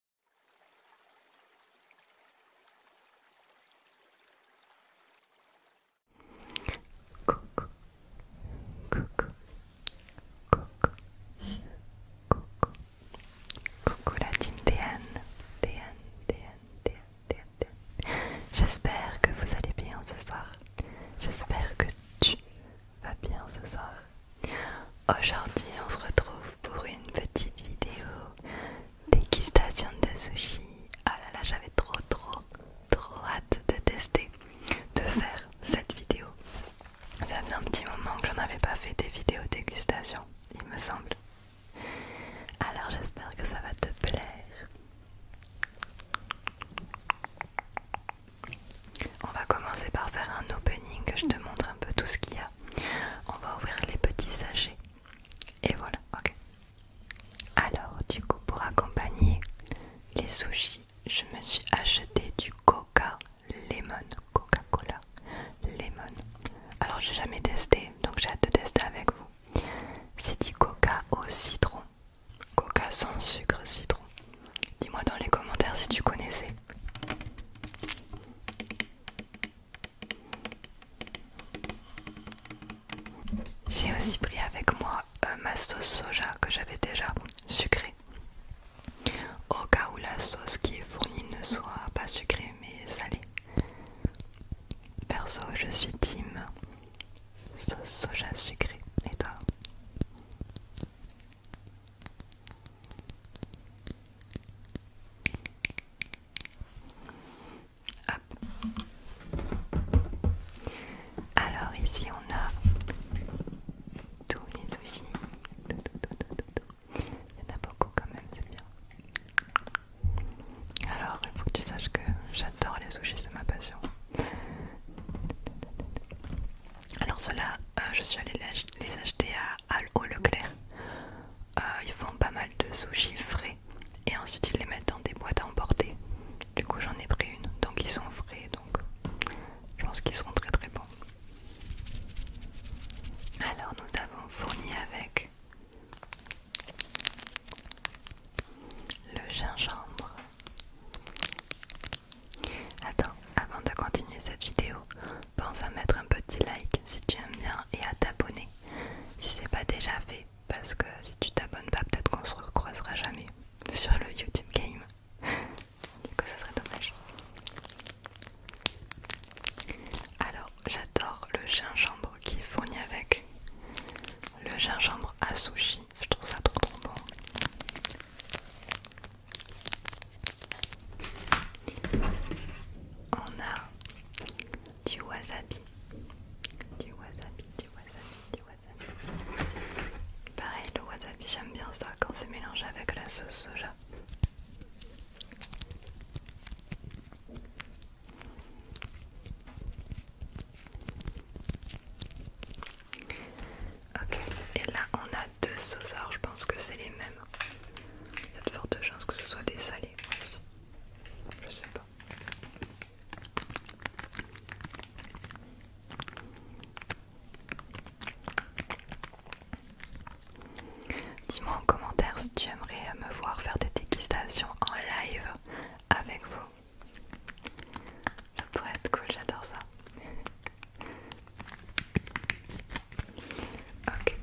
Coucou, coucou, coucou, coucou, coucou la team Déane, Déane, Déane, Déane, Déane, Déane. J'espère que vous allez bien ce soir. J'espère que tu vas bien ce soir. Aujourd'hui, on se retrouve pour une petite vidéo dégustation de sushi. Ah là là, j'avais trop trop trop hâte de tester, de faire cette vidéo. Ça faisait un petit moment que je n'avais pas fait des vidéos dégustation, il me semble. Alors j'espère que ça va te plaire. On va commencer par faire un opening, je te montre un peu tout ce qu'il y a. On va ouvrir les petits sachets. Et voilà, ok. Alors, du coup, pour accompagner les sushis, je me suis acheté du coca lemon. Coca-Cola lemon. Alors, j'ai jamais testé, donc j'ai hâte de tester avec vous. C'est du coca au citron. Coca sans sucre, citron. Dis-moi dans les commentaires si tu connaissais. J'ai aussi pris avec moi euh, ma sauce soja que j'avais déjà sucrée. Au cas où la sauce qui est fournie ne soit pas sucrée mais salée. Perso, je suis team sauce soja sucrée. Et toi alors ici on a tous les sushis. Il y en a beaucoup quand même, c'est bien. Alors il faut que tu saches que j'adore les sushis, c'est ma passion. Alors ceux-là, euh, je suis allée les acheter à Le Leclerc. Euh, ils font pas mal de sushis frais et ensuite ils les mettent dans des boîtes à emporter. Du coup, j'en ai pris une, donc ils sont frais, donc je pense qu'ils seront très très bons. Alors, nous avons fourni avec le gingembre. Attends, avant de continuer cette vidéo, pense à mettre un petit like si tu aimes bien et à t'abonner si c'est pas déjà fait parce que si tu t'abonnes pas peut-être qu'on se recroisera jamais sur le YouTube game du coup ça serait dommage alors j'adore le gingembre qui est fourni avec le gingembre à sushi je trouve ça trop trop bon on a du wasabi, du wasabi, du wasabi, du wasabi. Pareil, le wasabi, j'aime bien ça quand c'est mélangé avec la sauce soja. Ok, et là on a de je pense que c'est les mêmes. Il y a de fortes chances que ce soit des salés Je sais pas. Dis-moi en commentaire si tu aimerais me voir faire des dégustations en live avec vous. Ça pourrait être cool, j'adore ça. Ok,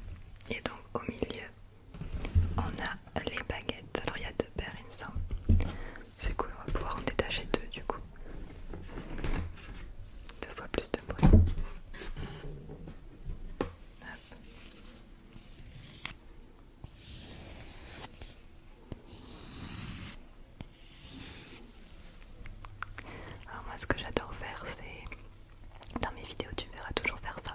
et donc au milieu, on a les baguettes. Alors il y a deux paires, il me semble. C'est cool, on va pouvoir en détacher deux du coup. Deux fois plus de bruit. Alors moi ce que j'adore faire c'est dans mes vidéos, tu verras toujours faire ça.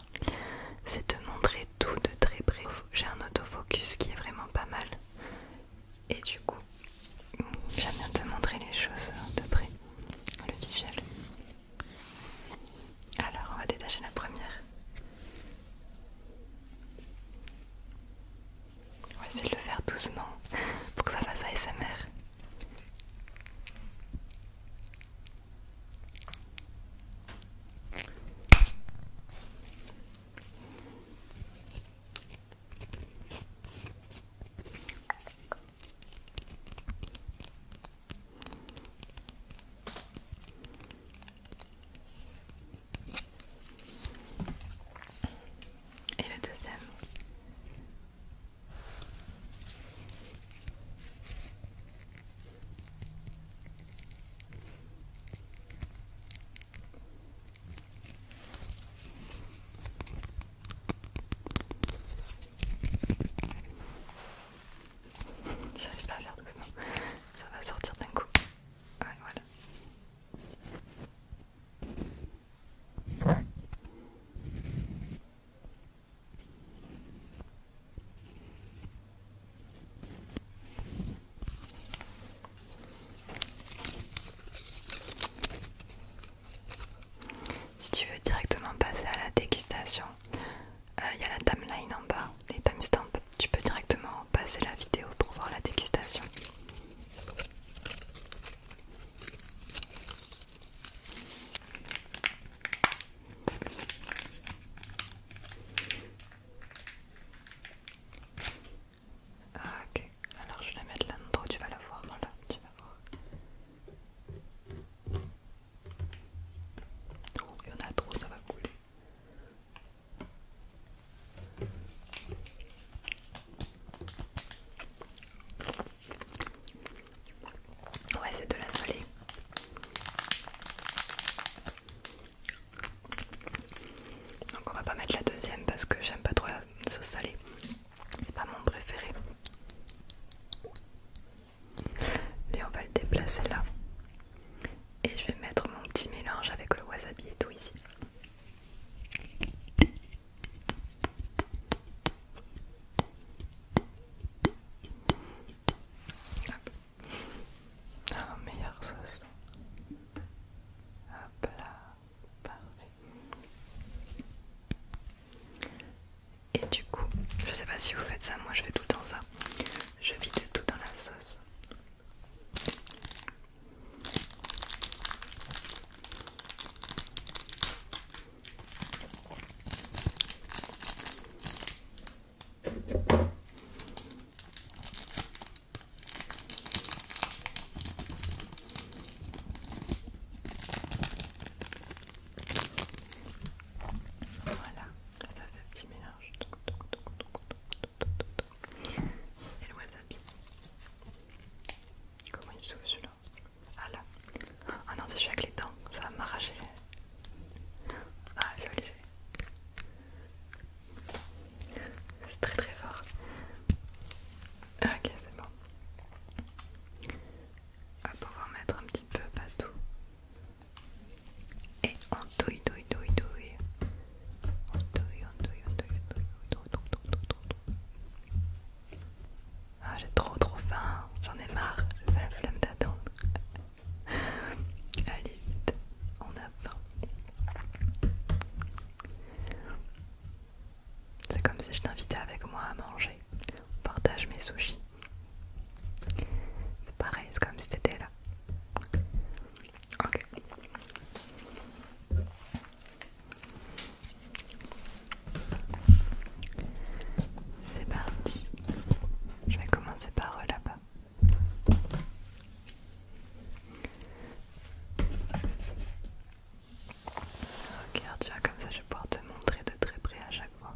C'est te montrer tout de très près. J'ai un autofocus qui est vraiment pas mal. Et du coup, j'aime bien te montrer les choses de près. Le visuel. Alors, on va détacher la première. On va essayer de le faire doucement pour que ça fasse ASMR. Et le deuxième, J'arrive pas à faire doucement, ça va sortir d'un coup. voilà. Si tu veux directement passer à la dégustation, euh, il y a la timeline en bas, les timestamps. Tu peux directement passer la vidéo pour voir la dégustation. Ah, ok, alors je vais la mettre là dedans tu vas la voir, là. tu vas voir. Oh, il y en a trop, ça va couler. Ouais, c'est de la salée. Donc on va pas mettre la deuxième parce que j'aime pas trop la sauce salée. C'est pas mon préféré. Lui on va le déplacer là. Et je vais mettre mon petit mélange avec le wasabi et tout ici. Un meilleur sauce. Hop là, parfait. Et du coup, je sais pas si vous faites ça, moi je fais tout le temps ça. Je vide tout dans la sauce. Voilà, ça fait un petit mélange. Et le wasabi. Comment il s'ouvre celui-là ah là. Ah non, c'est suis avec les dents. Ça va m'arracher. Ah, je très très fort. Ok, c'est bon. On va pouvoir mettre un petit peu partout. Et on touille, touille, touille, touille. On touille, on touille, on touille, on ah, j'ai trop trop faim, j'en ai marre, j'ai la flemme d'attendre. Allez vite, on a faim. C'est comme si je t'invitais avec moi à manger. On partage mes sushis. C'est pareil, c'est comme si t'étais là. Ok. C'est parti. Je vais commencer par là-bas. Regarde, tu vois, comme ça je vais pouvoir te montrer de très près à chaque fois.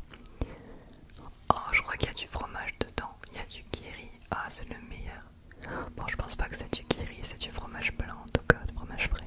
Oh, je crois qu'il y a du fromage dedans. Il y a du kiri. Ah, c'est le meilleur. Bon, je pense pas que c'est du kiri, c'est du fromage blanc en tout cas, du fromage frais.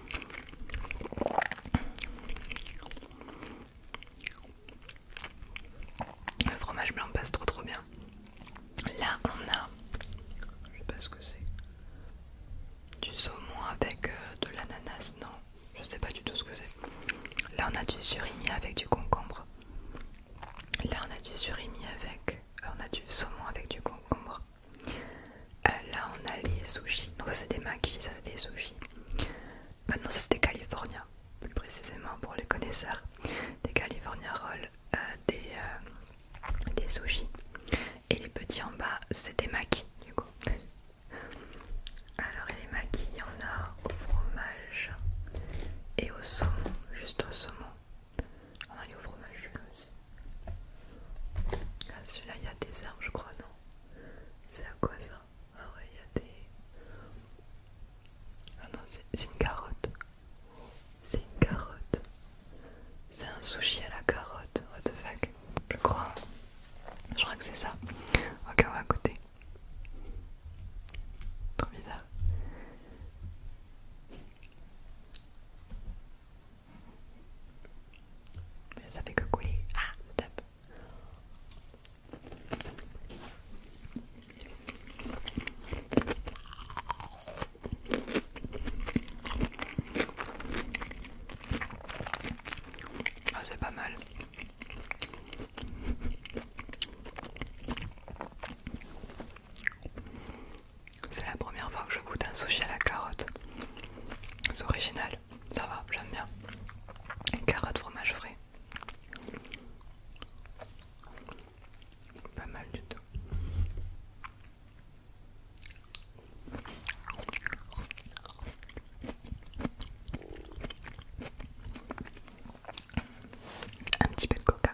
Le fromage blanc passe trop trop bien. Là on a, je sais pas ce que c'est, du saumon avec euh, de l'ananas, non, je sais pas du tout ce que c'est. Là on a du surimi avec du concombre. Là on a du surimi avec, euh, on a du saumon avec du concombre. Euh, là, on a les sushis. Donc, c'est des maquis, ça, c'est des sushis. Maintenant, ça, c'est des California, plus précisément pour les connaisseurs. Des California Rolls, euh, des, euh, des sushis. Et les petits en bas, c'est des maquis, du coup. Alors, les maquis, on a au fromage et au saumon, juste au saumon. On a les au fromage, celui-là aussi. Ah, celui-là, il y a des herbes, je crois, non c'est à quoi ça Ah ouais, des... Ah non, c'est une carotte. C'est une carotte. C'est un sushi à la carotte. What the fuck Je crois. Je crois que c'est ça. Ok, on à côté. Trop bizarre. Ça fait que couler. Ah, ah, c'est pas mal. C'est la première fois que je goûte un sushi à la carotte. C'est original ça va, j'aime bien. Carotte, fromage frais. Pas mal du tout. Un petit peu de coca.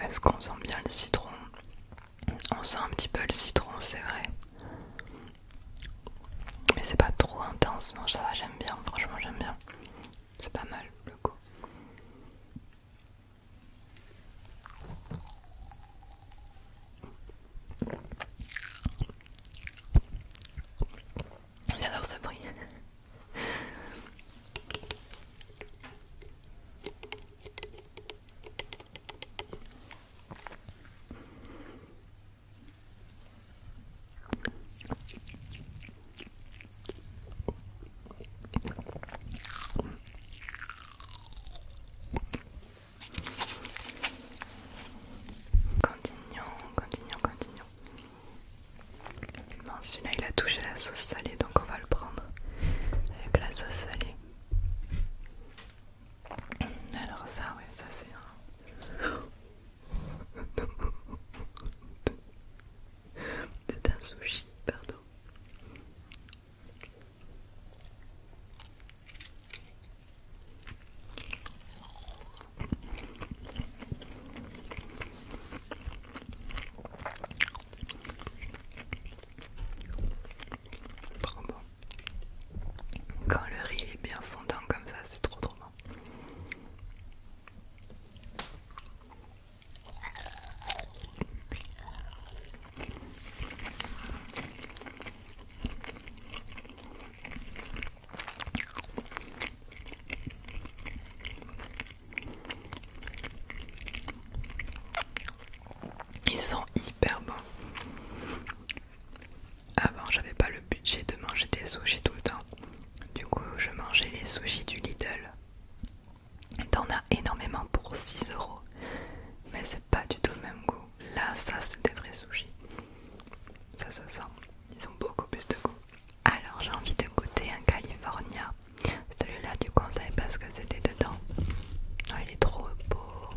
Est-ce qu'on sent bien le citron On sent un petit peu le citron, c'est vrai. Mais c'est pas trop intense, non ça va, j'aime bien, franchement j'aime bien. C'est pas mal le goût. J'adore ce bruit. Continuons, continuons, continuons. Non, celui-là il a touché la sauce salée donc on va le prendre avec la sauce salée. Alors, ça, ouais, ça c'est un. c'est un sushi, pardon. Quand le riz est bien fondant comme ça, c'est trop trop bon. Ils sont hyper bons. Avant, j'avais pas le budget de manger des sushis tout le temps. Du coup, je mangeais les sushis du Lidl. T'en as énormément pour 6€, euros, mais c'est pas du tout le même goût. Là, ça, c'est des vrais sushis. Ça se sent. Ils ont beaucoup plus de goût. Alors j'ai envie de goûter un California, celui-là du conseil parce que c'était dedans. Oh, il est trop beau,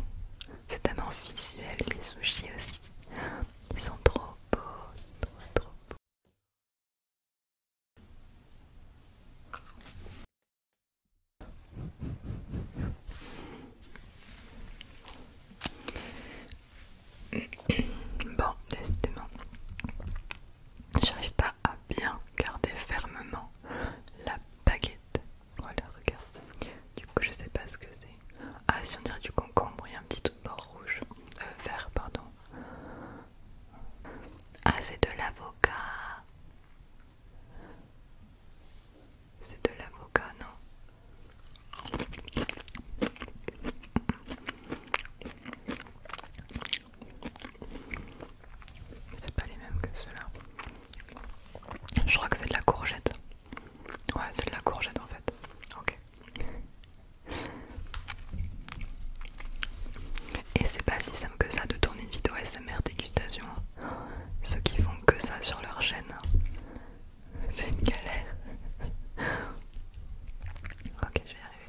c'est tellement visuel les sushis aussi, ils sont trop beaux, trop trop beaux. Bon, décidément, J'arrive pas à bien garder fermement la baguette. Voilà, oh, regarde. Du coup, je sais pas ce que c'est. Ah, si on dirait du concombre, il y a un petit bord rouge. Euh, vert, pardon. Ah, c'est de l'avocat. C'est de l'avocat, non c'est pas les mêmes que ceux-là. Je crois que c'est de la courgette. Ouais, c'est de la courgette en fait. Ok. Et c'est pas si simple que ça de tourner une vidéo SMR dégustation. Hein. Ceux qui font que ça sur leur chaîne, hein. c'est une galère. ok, je vais y arriver.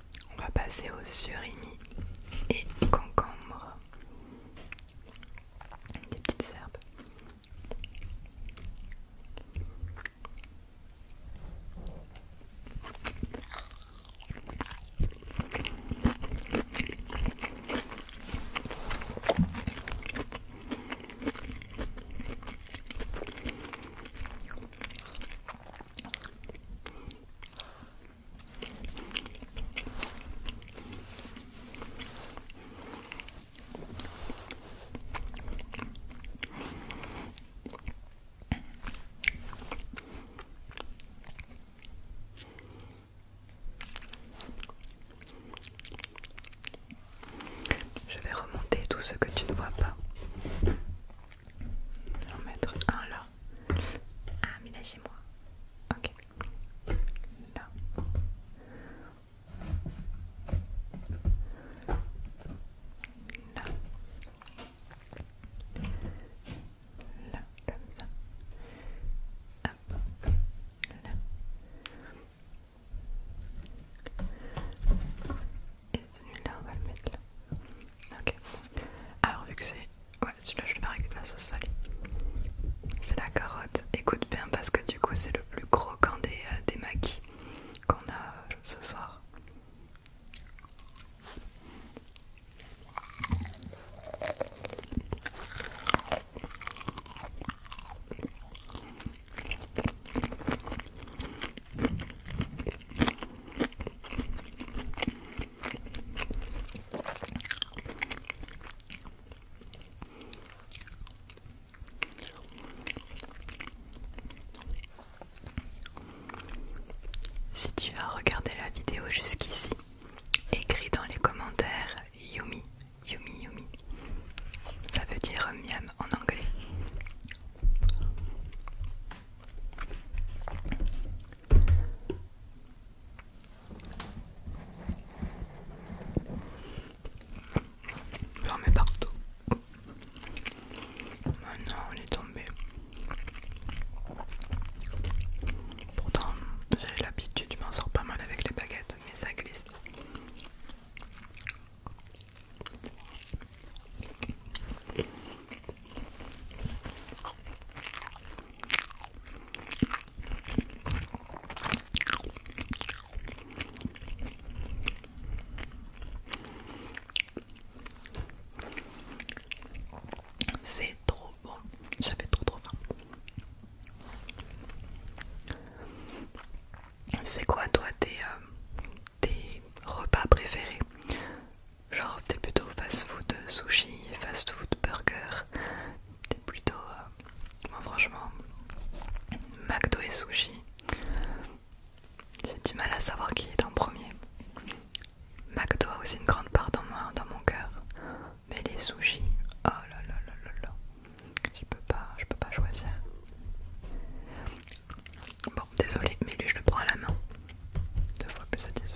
On va passer aux surimi et concombre. Des petites herbes. Je vais remonter tout ce que tu ne vois pas. Je vais en mettre un là. Ah, mais là, chez moi. Ok. Là. Là. Là, comme ça. Hop. Là. Et celui-là, on va le mettre là. Ok. Alors, vu que c'est. Ouais, celui-là, je vais le faire avec de la sauce salée. C'est la carotte. Écoute bien, parce que du coup, c'est le plus croquant des, euh, des maquis qu'on a euh, ce soir. Si tu as regardé la vidéo jusqu'ici, écris dans les commentaires Yumi, Yumi, Yumi. Ça veut dire miam en anglais. J'en mets partout. Maintenant, on est tombé. Pourtant, j'ai l'habitude, je m'en sors pas mal avec les baguettes, mais ça glisse. C'est trop bon, j'avais trop trop faim. C'est quoi toi tes, euh, repas préférés Genre t'es plutôt fast-food euh, sushi, fast-food burger, t'es plutôt... Euh, franchement, McDo et sushi, j'ai du mal à savoir qui est en premier. McDo a aussi une grande part dans, moi, dans mon cœur, mais les sushis, oh là là là là là, je peux pas, je peux pas choisir. Bon, désolé, mais lui je le prends à la main deux fois plus satisfaisant.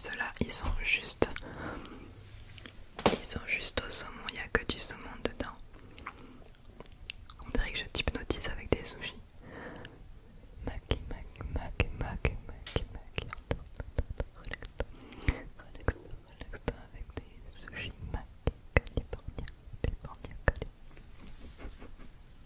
Ceux-là, ils sont juste... Ils sont juste au saumon, il n'y a que du saumon dedans. On dirait que je t'hypnotise avec des sushis. Maki, maki, maki, maki, maki, maki. Relax-toi, relax-toi avec des sushis. Maki, californien, californien, californien.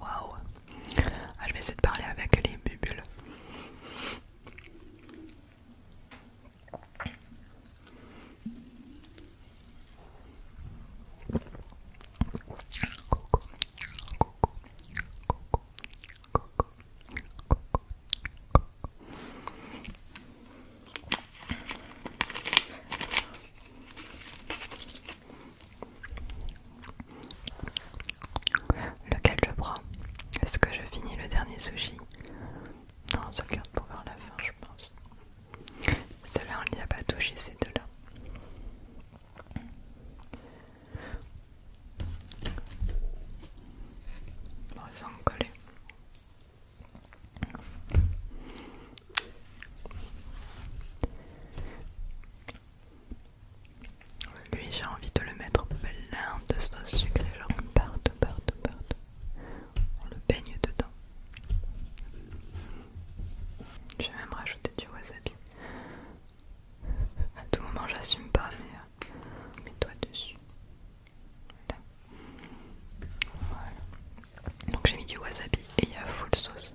Waouh ah, Je vais essayer de parler avec les bulles. Lequel je prends Est-ce que je finis le dernier sushi Non, on se garde pour voir la fin, je pense. Cela, on n'y a pas touché, ces deux-là. sont collés. Lui, j'ai envie de le mettre plein de sauce sucrée, genre partout, partout, partout. On le baigne dedans. Je vais même rajouter du wasabi. À tout moment, j'assume pas, mais euh, mets-toi dessus. Voilà. Donc j'ai mis du wasabi et il y a full sauce.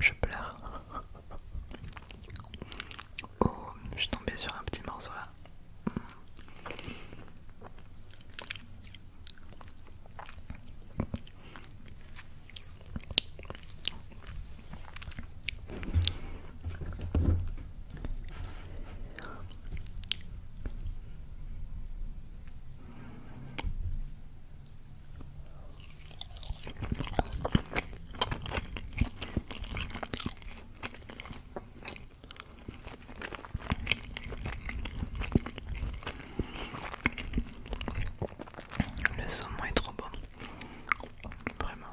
Je pleure. Oh, je suis tombée sur un petit morceau là. Le saumon est trop bon. Vraiment,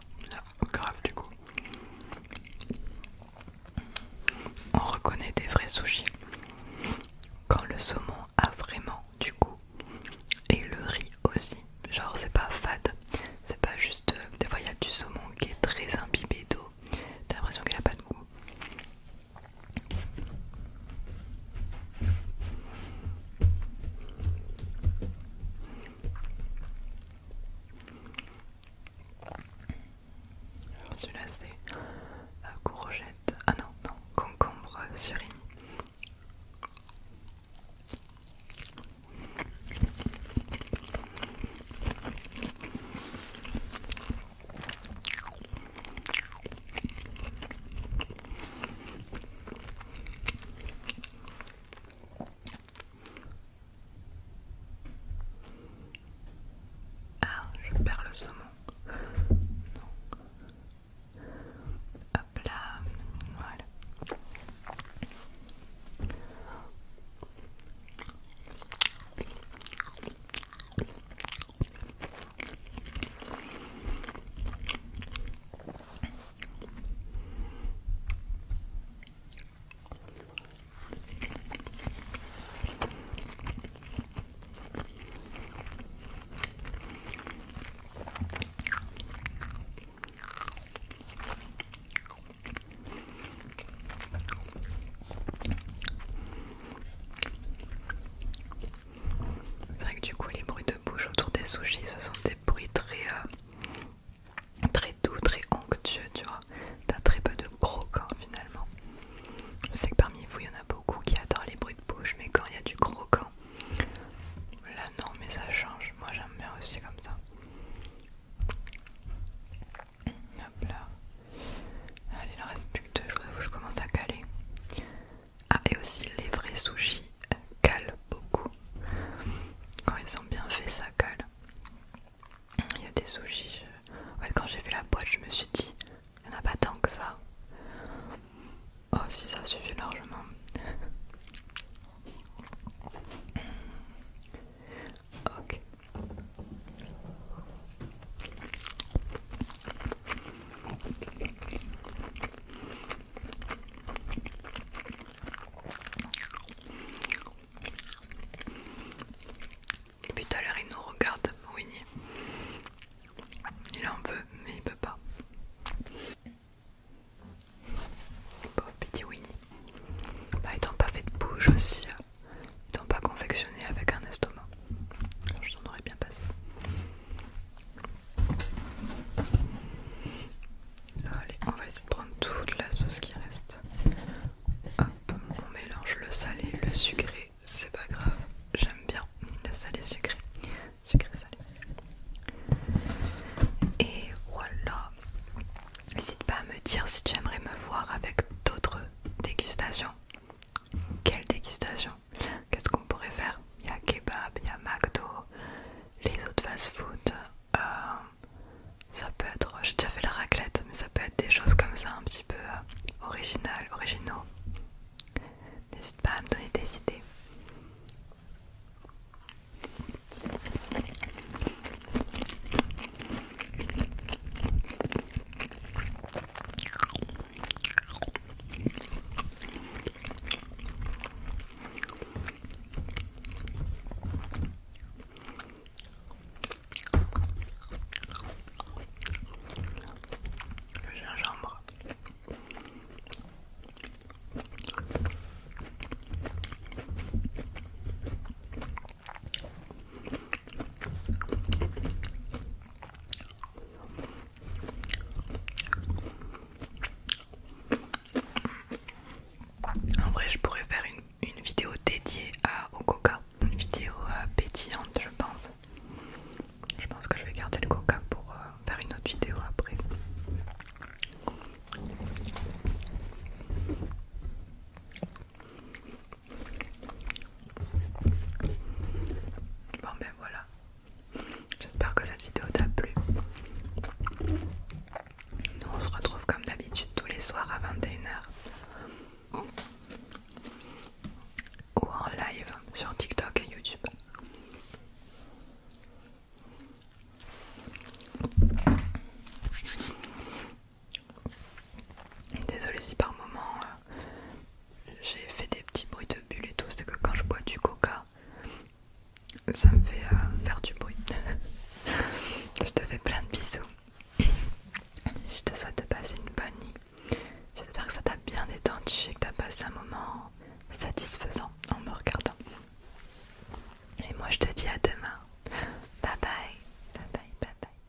grave du coup. On reconnaît des vrais sushis quand le saumon a vraiment du coup et le riz aussi genre c'est pas fade c'est pas juste euh, des fois il y a du saumon qui est très imbibé d'eau t'as l'impression qu'il a pas de goût celui-là c'est euh, courgette ah non non concombre surimi ah, je perds le saumon. Hop là, voilà. C'est vrai que du coup les bruits de bouche autour des sushis ce sont des bruits très euh, très doux, très onctueux tu vois. T'as très peu de croquant finalement. Je sais que parmi vous il y en a beaucoup qui adorent les bruits de bouche mais quand il y a du croquant Là non mais ça change, moi j'aime bien aussi comme ça. Hop là. Allez, il en reste plus que je commence à caler. Ah et aussi les vrais sushis calent beaucoup. Quand ils sont bien faits ça cale. Il y a des sushis. fait, quand j'ai vu la boîte je me suis dit, il n'y en a pas tant que ça. Oh si ça suffit largement. ok. Puis tout à l'heure il nous regarde, Winnie. Il en veut, mais il peut pas. Pauvre Petit Winnie. Bah, étant pas fait de bouche aussi, euh. ils n'ont pas confectionné avec un estomac, je t'en aurais bien passé. Allez, on va essayer de prendre toute la sauce qui reste. Hop, on mélange le salé, le sucré, c'est pas grave, j'aime bien le salé sucré sucré Et voilà. N'hésite pas à me dire si tu aimerais me voir avec d'autres dégustations. Quelle dégustation Qu'est-ce qu'on pourrait faire Il y a kebab, il y a McDo, les autres fast-food. Euh, ça peut être, j'ai déjà fait la raclette, mais ça peut être des choses comme ça, un petit peu original euh, originales, originaux. N'hésite pas à me donner des idées. Le gingembre en vrai, je pourrais faire une, vidéo dédiée à, au coca, une vidéo appétillante, je pense. Je pense que je vais garder le coca pour euh, faire une autre vidéo après. Bon ben voilà. J'espère que cette vidéo t'a plu. Nous on se retrouve comme d'habitude tous les soirs à 21h. Ou en live sur TikTok et YouTube. Désolée si par moment euh, j'ai fait des petits bruits de bulles et tout, c'est que quand je bois du coca, ça me fait euh, faire du bruit. je te fais plein de bisous. Je te souhaite de passer une bonne nuit. J'espère que ça t'a bien détendu et que t'as passé un moment satisfaisant en me regardant. Et moi je te dis à demain. Bye bye. Bye bye